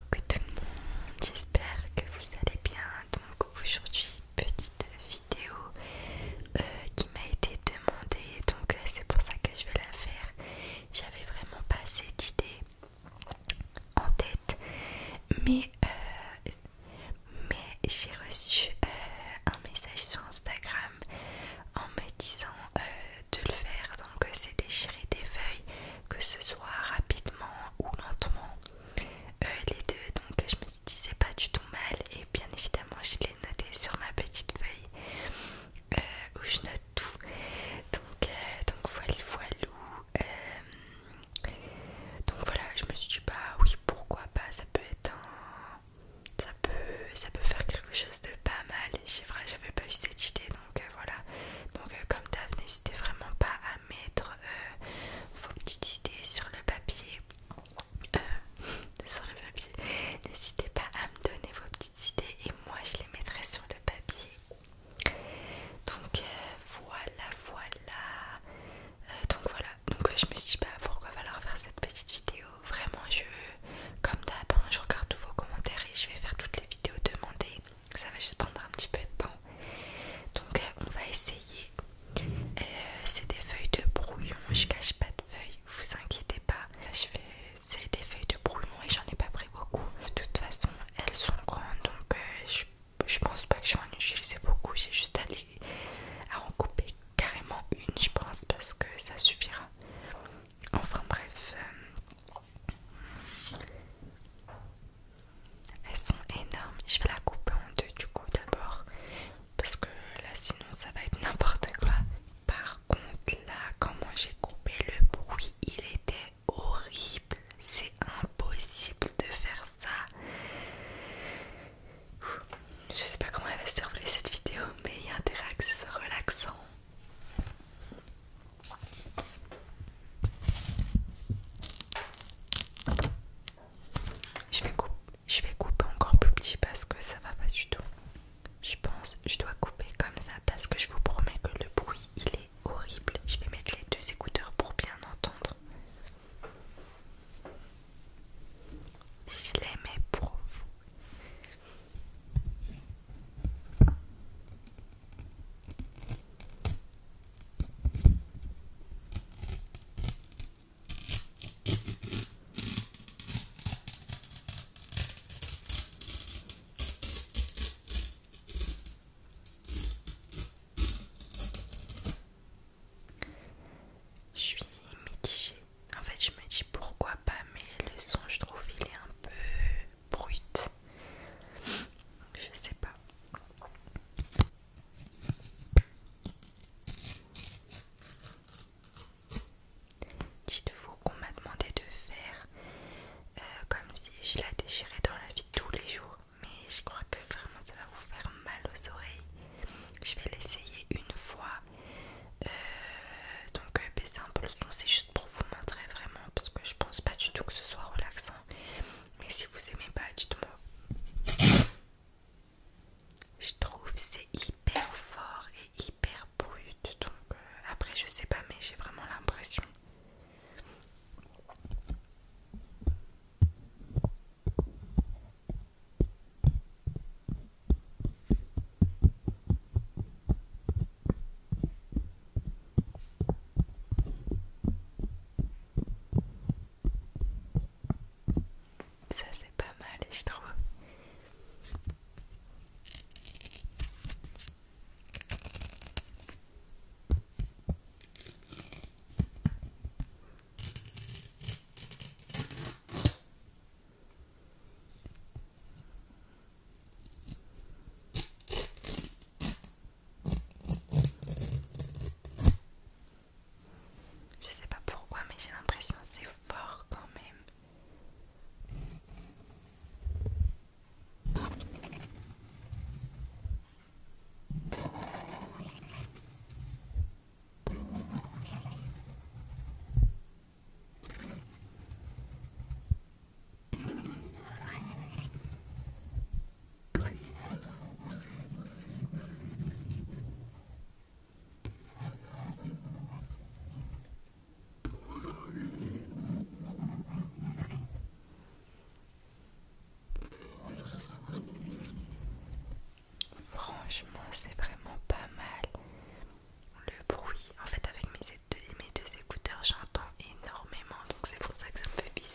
Coucou tout le monde, j'espère que vous allez bien. Donc aujourd'hui, petite vidéo euh, qui m'a été demandée, donc euh, c'est pour ça que je vais la faire. J'avais vraiment pas cette idée en tête, mais, euh, mais j'ai reçu un message sur Instagram en me disant de le faire. Donc c'est déchirer des feuilles que ce soit rapidement ou lentement. Euh, les deux, donc je me disais pas du tout mal et bien évidemment je l'ai noté sur ma petite feuille euh, où je note tout. Donc, euh, voilà, voilà. donc voilà, je me suis dit bah oui pourquoi pas, ça peut être Ça peut, ça peut faire quelque chose de pas mal. J'avais pas eu cette idée donc euh, voilà donc euh, comme d'hab n'hésitez vraiment pas à mettre euh, vos petites idées sur le papier sur le papier n'hésitez pas à me donner vos petites idées et moi je les mettrai sur le papier donc voilà voilà donc voilà donc je me suis dit bah pourquoi falloir faire cette petite vidéo vraiment je comme d'hab hein, je regarde tous vos commentaires et je vais faire toutes les vidéos demandées ça va juste prendre un petit peu de temps. Donc euh, on va essayer. Euh, c'est des feuilles de brouillon, je cache pas de feuilles, vous inquiétez pas. Je fais... C'est des feuilles de brouillon et j'en ai pas pris beaucoup. De toute façon, elles sont grandes donc euh, je, pense pas que je vais en utiliser beaucoup. J'ai juste allé à en couper carrément une, je pense, parce que ça suffira. Enfin bref, euh, elles sont énormes. Je vais la couper en deux du coup d'abord parce que là sinon ça va être n'importe quoi. Par contre là, comment j'ai coupé le bruit, il était horrible. C'est impossible de faire ça. Je sais pas comment elle va se dérouler cette vidéo, mais il y a un relaxant. Je vais, couper, je vais couper encore plus petit parce que ça va pas du tout. Je pense je dois couper comme ça parce que je vous promets que le bruit il est horrible. Je vais mettre les deux écouteurs pour bien entendre. Je les mets pour vous. Je suis mitigée. En fait, je me dis pourquoi pas, mais le son, je trouve, il est un peu bruite Je sais pas. Dites-vous qu'on m'a demandé de faire euh, comme si je la déchirais dans la vie tous les jours, mais je crois que vraiment ça va vous faire mal aux oreilles. Je vais l'essayer une fois. Euh, donc c'est euh, un peu le son, c'est juste pour vous montrer vraiment parce que je pense pas du tout que ce soit relaxant. Mais si vous aimez pas, dites-moi. Je trouve c'est hyper fort et hyper brut. Donc euh, après je sais pas mais j'ai vraiment l'impression. Ça c'est pas mal, je trouve. Je sais pas pourquoi, mais j'ai l'impression que c'est fort quand même. Franchement, c'est vraiment pas mal le bruit. En fait, avec mes deux, écouteurs, j'entends énormément, donc c'est pour ça que ça me fait bizarre.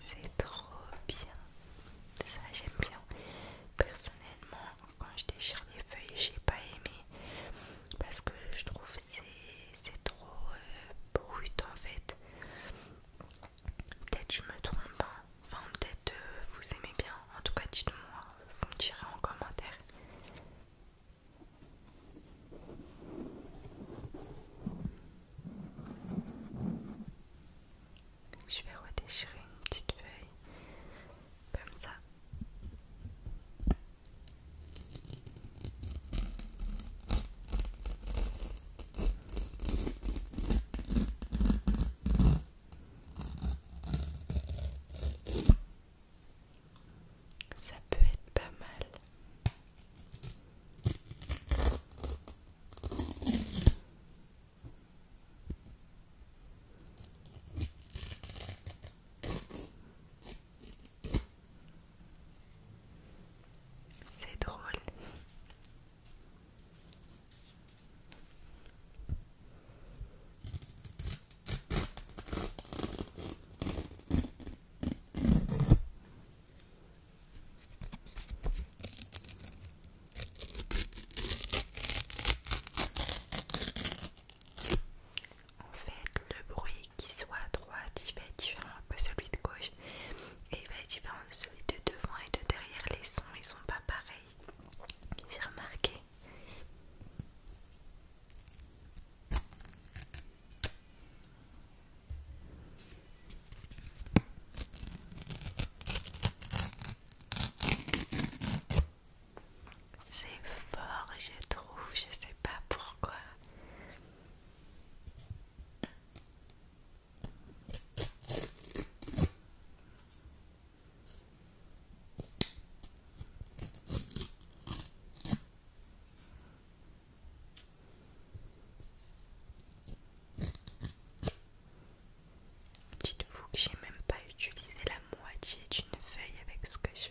C'est trop bien. Ça j'aime bien. Personnellement, quand je déchire les feuilles, j'ai pas aimé parce que je trouve c'est trop euh, brut en fait. Peut-être je me trompe, hein. enfin peut-être euh, vous aimez bien. En tout cas, dites-moi, vous me direz en commentaire. Je vais redéchirer une petite feuille comme ça. Ça peut être pas mal. C'est drôle. En fait, le bruit qui soit à droite, il va être différent que celui de gauche et il va être différent de celui de devant et de derrière. Les sons, ils sont pas pareils. J'ai remarqué. C'est fort, je trouve, je sais pas pourquoi. Dites-vous que j'ai même pas utilisé la moitié d'une feuille avec ce que je fais.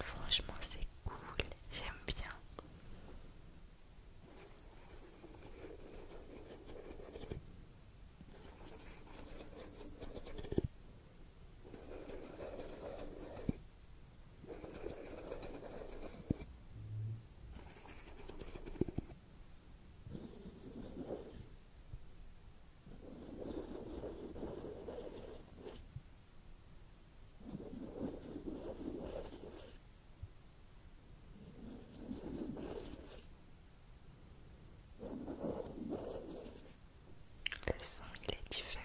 Franchement, c'est cool, j'aime bien. Le son, est différent.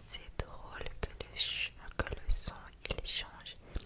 C'est drôle que le, que le son il change euh,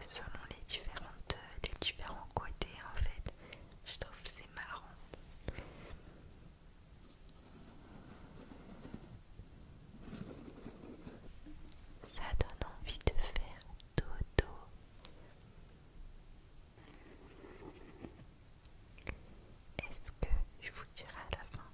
selon les, différentes, euh, différents côtés en fait. Je trouve c'est marrant. Ça donne envie de faire dodo. Est-ce que je vous dirai à la fin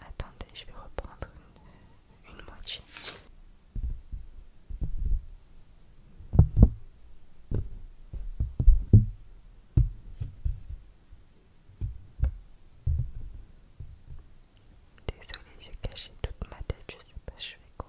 Attendez, je vais reprendre une moitié. Désolée, j'ai caché toute ma tête, je sais pas, je fais quoi.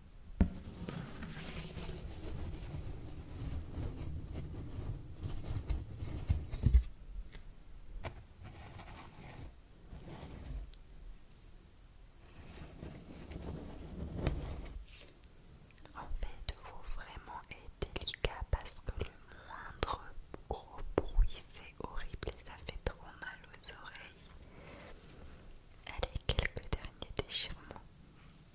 En fait, vous vraiment est délicat parce que le moindre gros bruit c'est horrible et ça fait trop mal aux oreilles. Allez, quelques derniers déchirements.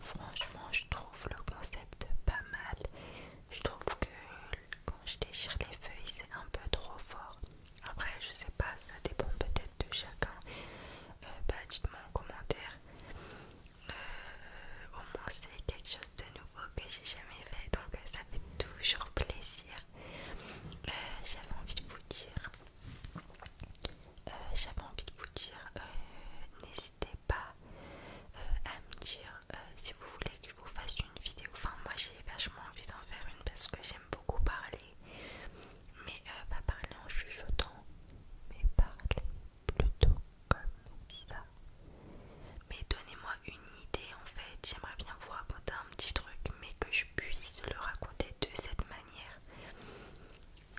Franchement, je trouve le concept pas mal. Je trouve que quand je déchire les feuilles, c'est un peu trop fort. Après, je sais pas, ça dépend peut-être de chacun. Euh, bah, dites-moi en commentaire. Euh, au moins, c'est quelque chose de nouveau que j'ai jamais fait, donc euh, ça fait toujours plaisir. j'avais envie de vous dire, j'avais envie de vous dire, n'hésitez pas à me dire si vous voulez que je vous fasse une vidéo. Enfin, moi j'ai vachement envie d'en faire une parce que j'aime beaucoup parler mais euh, pas parler en chuchotant, mais parler plutôt comme ça. Mais donnez-moi une idée en fait, j'aimerais bien vous raconter un petit truc, mais que je puisse le raconter de cette manière.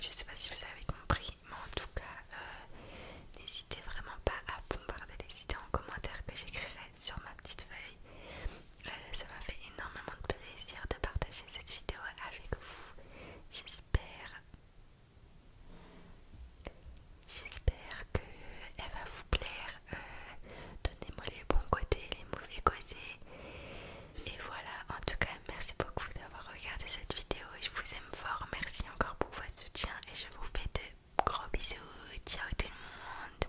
Je sais pas si vous avez compris, mais en tout cas, euh, n'hésitez vraiment pas à bombarder les idées en commentaire que j'écrirai sur ma petite feuille. Euh, ça m'a fait énormément de plaisir de partager cette vidéo avec vous. J'espère J'espère elle va vous plaire. Euh, donnez-moi les bons côtés, les mauvais côtés. Et voilà, en tout cas, merci beaucoup d'avoir regardé cette vidéo. Je vous aime fort. Merci encore pour votre soutien. Et je vous fais de gros bisous. Ciao tout le monde.